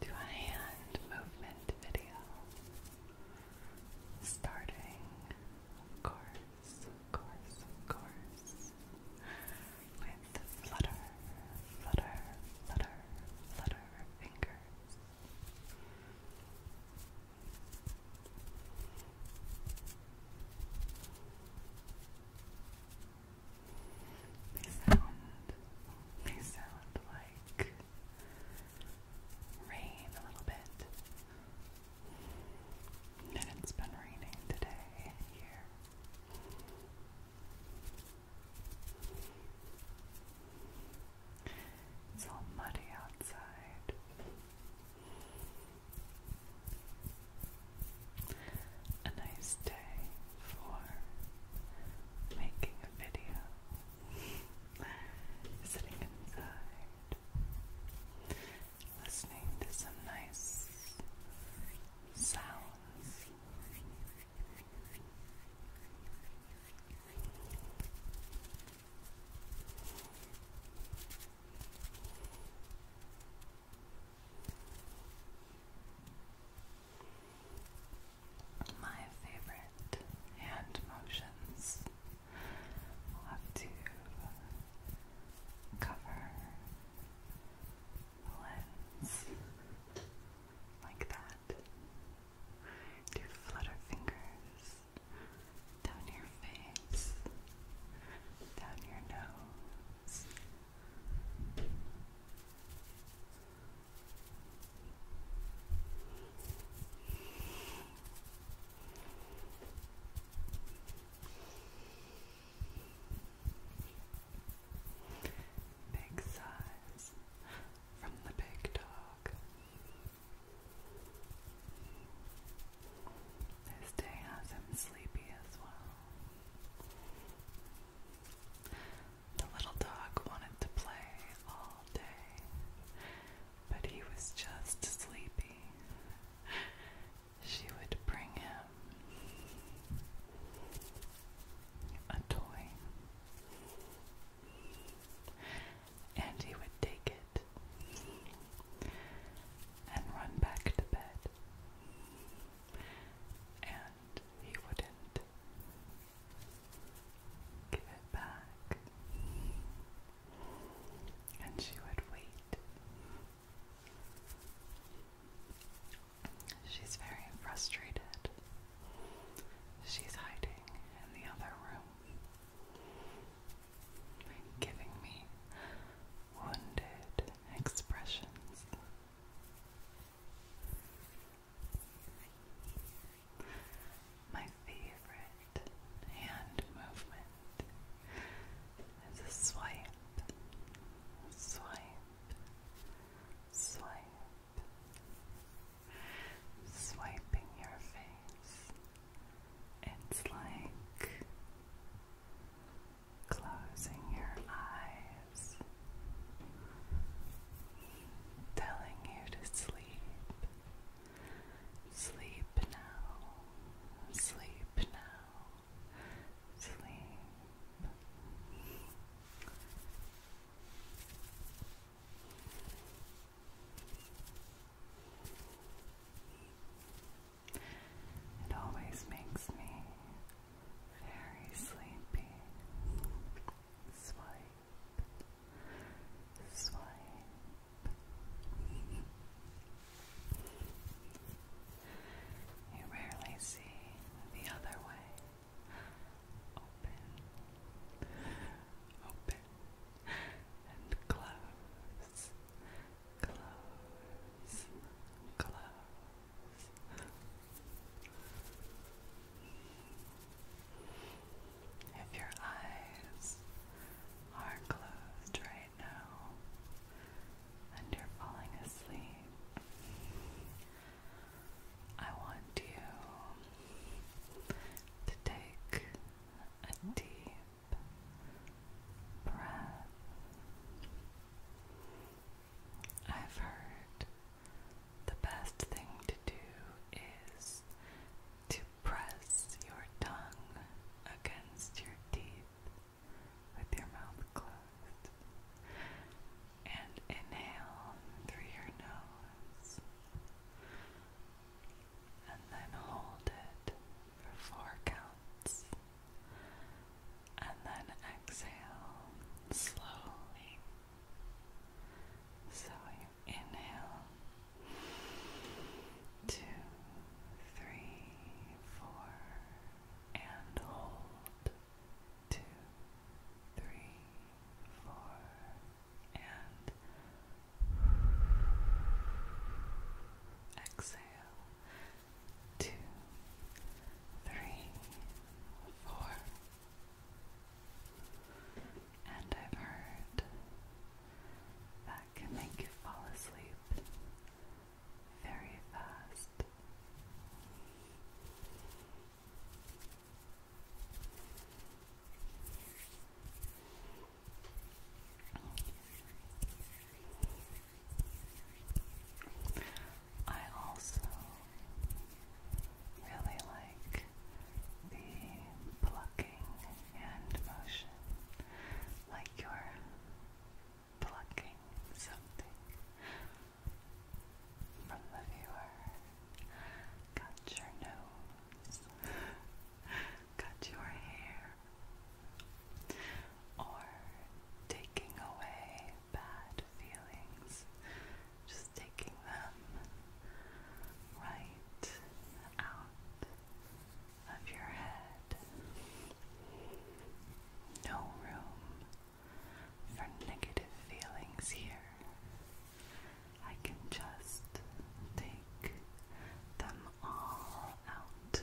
to a hand movement video. Starting, course, course, course, with flutter, flutter, flutter, flutter fingers. They sound, they sound like rain a little bit. And it's been raining today here. It's all muddy outside. A nice day for making a video, sitting inside, listening to some nice sounds my favorite hand motions. have to cover the lens like that. Do flutter fingers down your face, down your nose. Big size from the big dog. This day has him sleepy as well. The little dog wanted to play all day, but he was just sleepy. She would bring him a toy, and he would take it and run back to bed he wouldn't give it back. And she would wait. She's very frustrated. She's hiding in the other room. Giving me wounded expressions. My favorite hand movement is a swipe, swipe, swipe, swiping your face. It's like closing your eyes, telling you to sleep. Sleep now, sleep now, sleep. It always makes me very sleepy. Swipe, swipe. You rarely see the other way. Open, open, and close, close, If your eyes are closed right now and you're falling asleep, I want you to take a deep breath I've heard the best thing to do is to press your tongue against your teeth with your mouth closed and inhale through your nose and then hold it for four counts and then exhale slowly. So you inhale two, three, four, and hold two, three, four, and exhale two, three, four. And I've heard that can make you fall asleep very fast. I also really like the plucking hand motion, like you're plucking something from the viewer. Got your nose, got your hair or taking away bad feelings, just taking them right out of your head. No room for negative feelings here. I can just take them all out.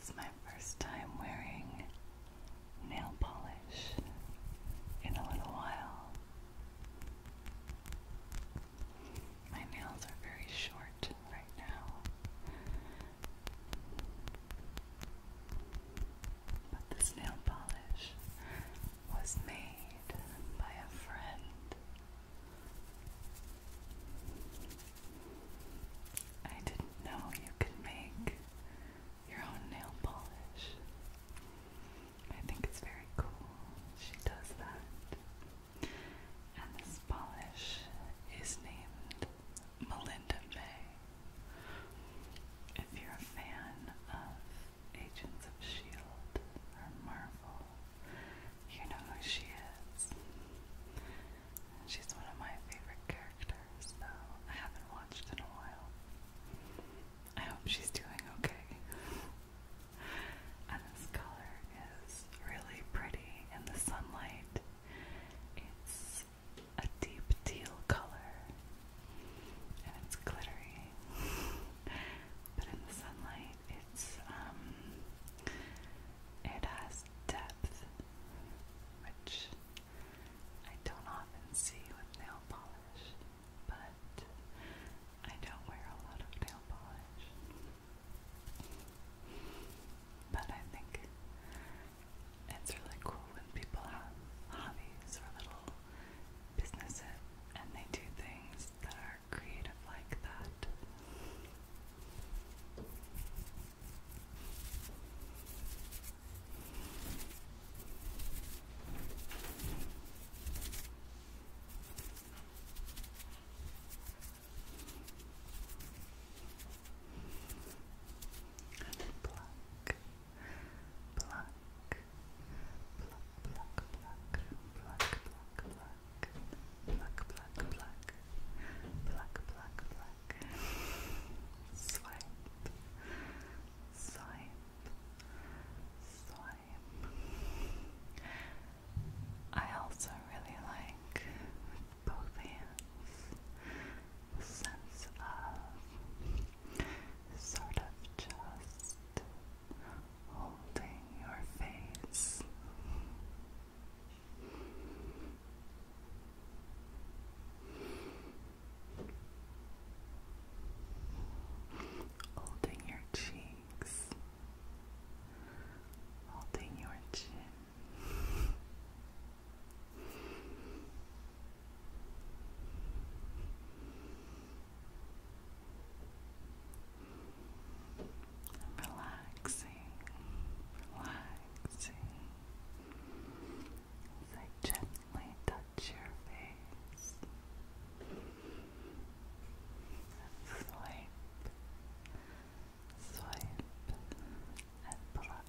It's my first time wearing nail polish in a little while. My nails are very short right now. But this nail polish was made by a friend I didn't know you could make your own nail polish. I think it's very cool. She does that. And this polish is named Melinda May. If you're a fan of Agents of S.H.I.E.L.D. or Marvel. You know who she is. She's one of my favorite characters, though I haven't watched in a while. I hope she's doing okay. and this color is really pretty in the sunlight. It's a deep teal color and it's glittery. but in the sunlight, it's um, it has depth, which I don't often see with nail polish, but I don't wear a lot of nail polish. But I think it's really cool when people have hobbies or little businesses and they do things that are are creative like that. And pluck, pluck, pluck, pluck, pluck, pluck, pluck, pluck, pluck, pluck, pluck, pluck, swipe, swipe, swipe. I also really like both hands. sense of sort of just holding your face. Holding your cheeks, holding your chin, Relaxing, relaxing as gently touch your face and swipe, swipe, and pluck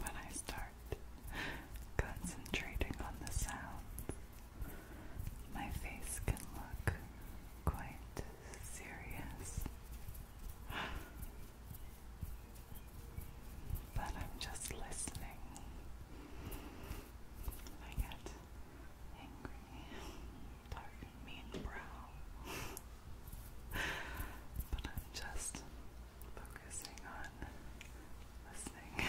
When I start concentrating on the sounds, my face can look quite serious. But I'm just listening. I get angry, dark mean brow. but I'm just focusing on listening.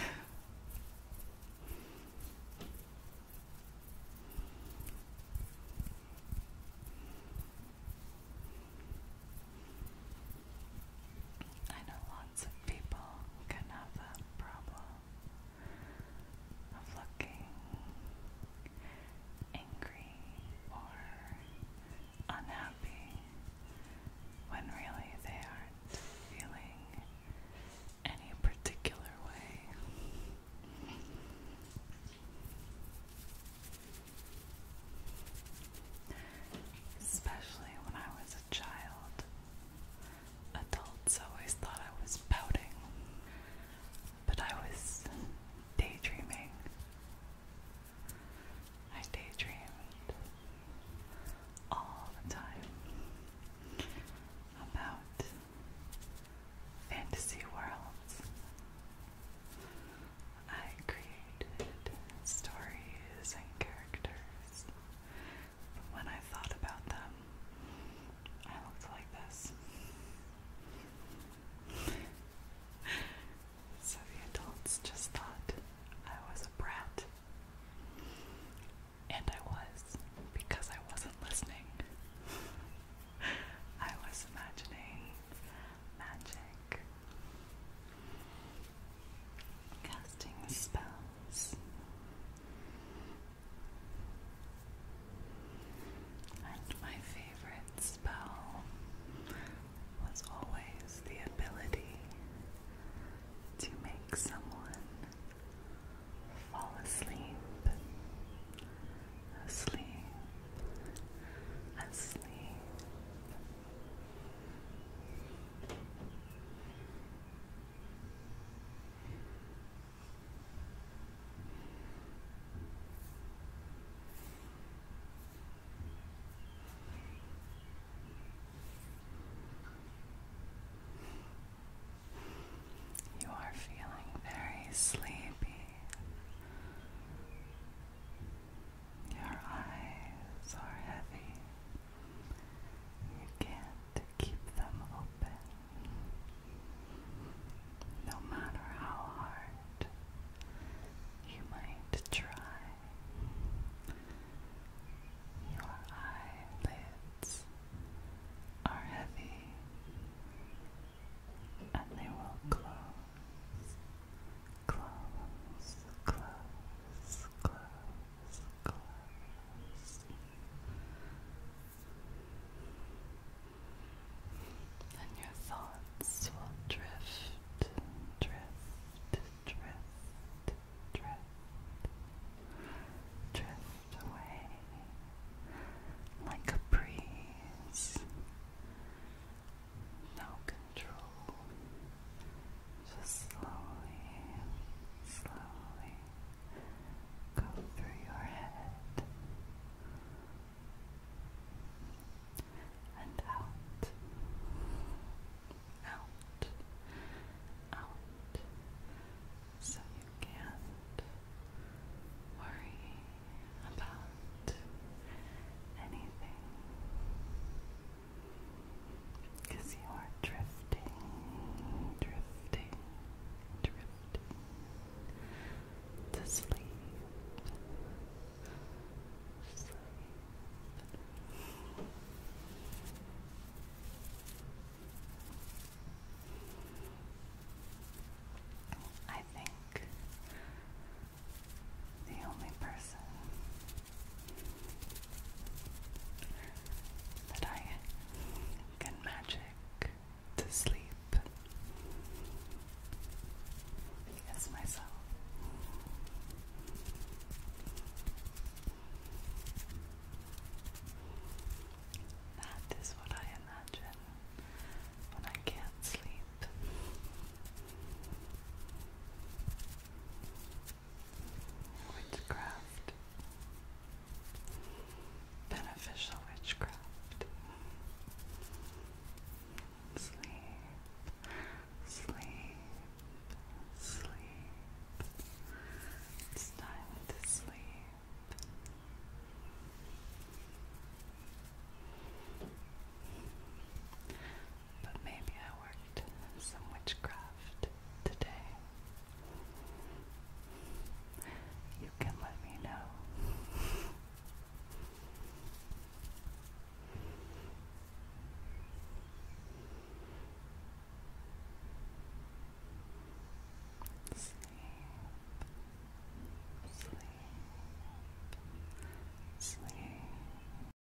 I know lots of people can have that problem of looking angry or unhappy when really they aren't feeling any particular way. Especially when I was a child, Adults always thought I was pouting, but I was daydreaming. I daydreamed all the time about fantasy worlds. I created stories and characters, but when I thought about them, I looked like this. so the adults just thought I was a brat. And I was, because I wasn't listening. I was imagining magic, casting spells, and my favorite spell was always the ability to make someone fall asleep, asleep, asleep. You are feeling very sleepy. Your eyes are heavy. You can't keep them open. No matter how hard you might try, your eyelids are heavy and they will close, close, close, close. And your thoughts will drift, drift, drift, drift, drift away like a breeze. No control, just slowly, slowly go through your head and out, out, out, so you can't worry about anything. Because you are drifting, drifting, drifting to sleep. I think the only person that I can magic to sleep. Yes, myself. That is what I imagine when I can't sleep witchcraft, beneficial witchcraft. Sleep, sleep, sleep. It's to sleep but maybe I worked some witchcraft today. You can let me know. Sleep, sleep, sleep.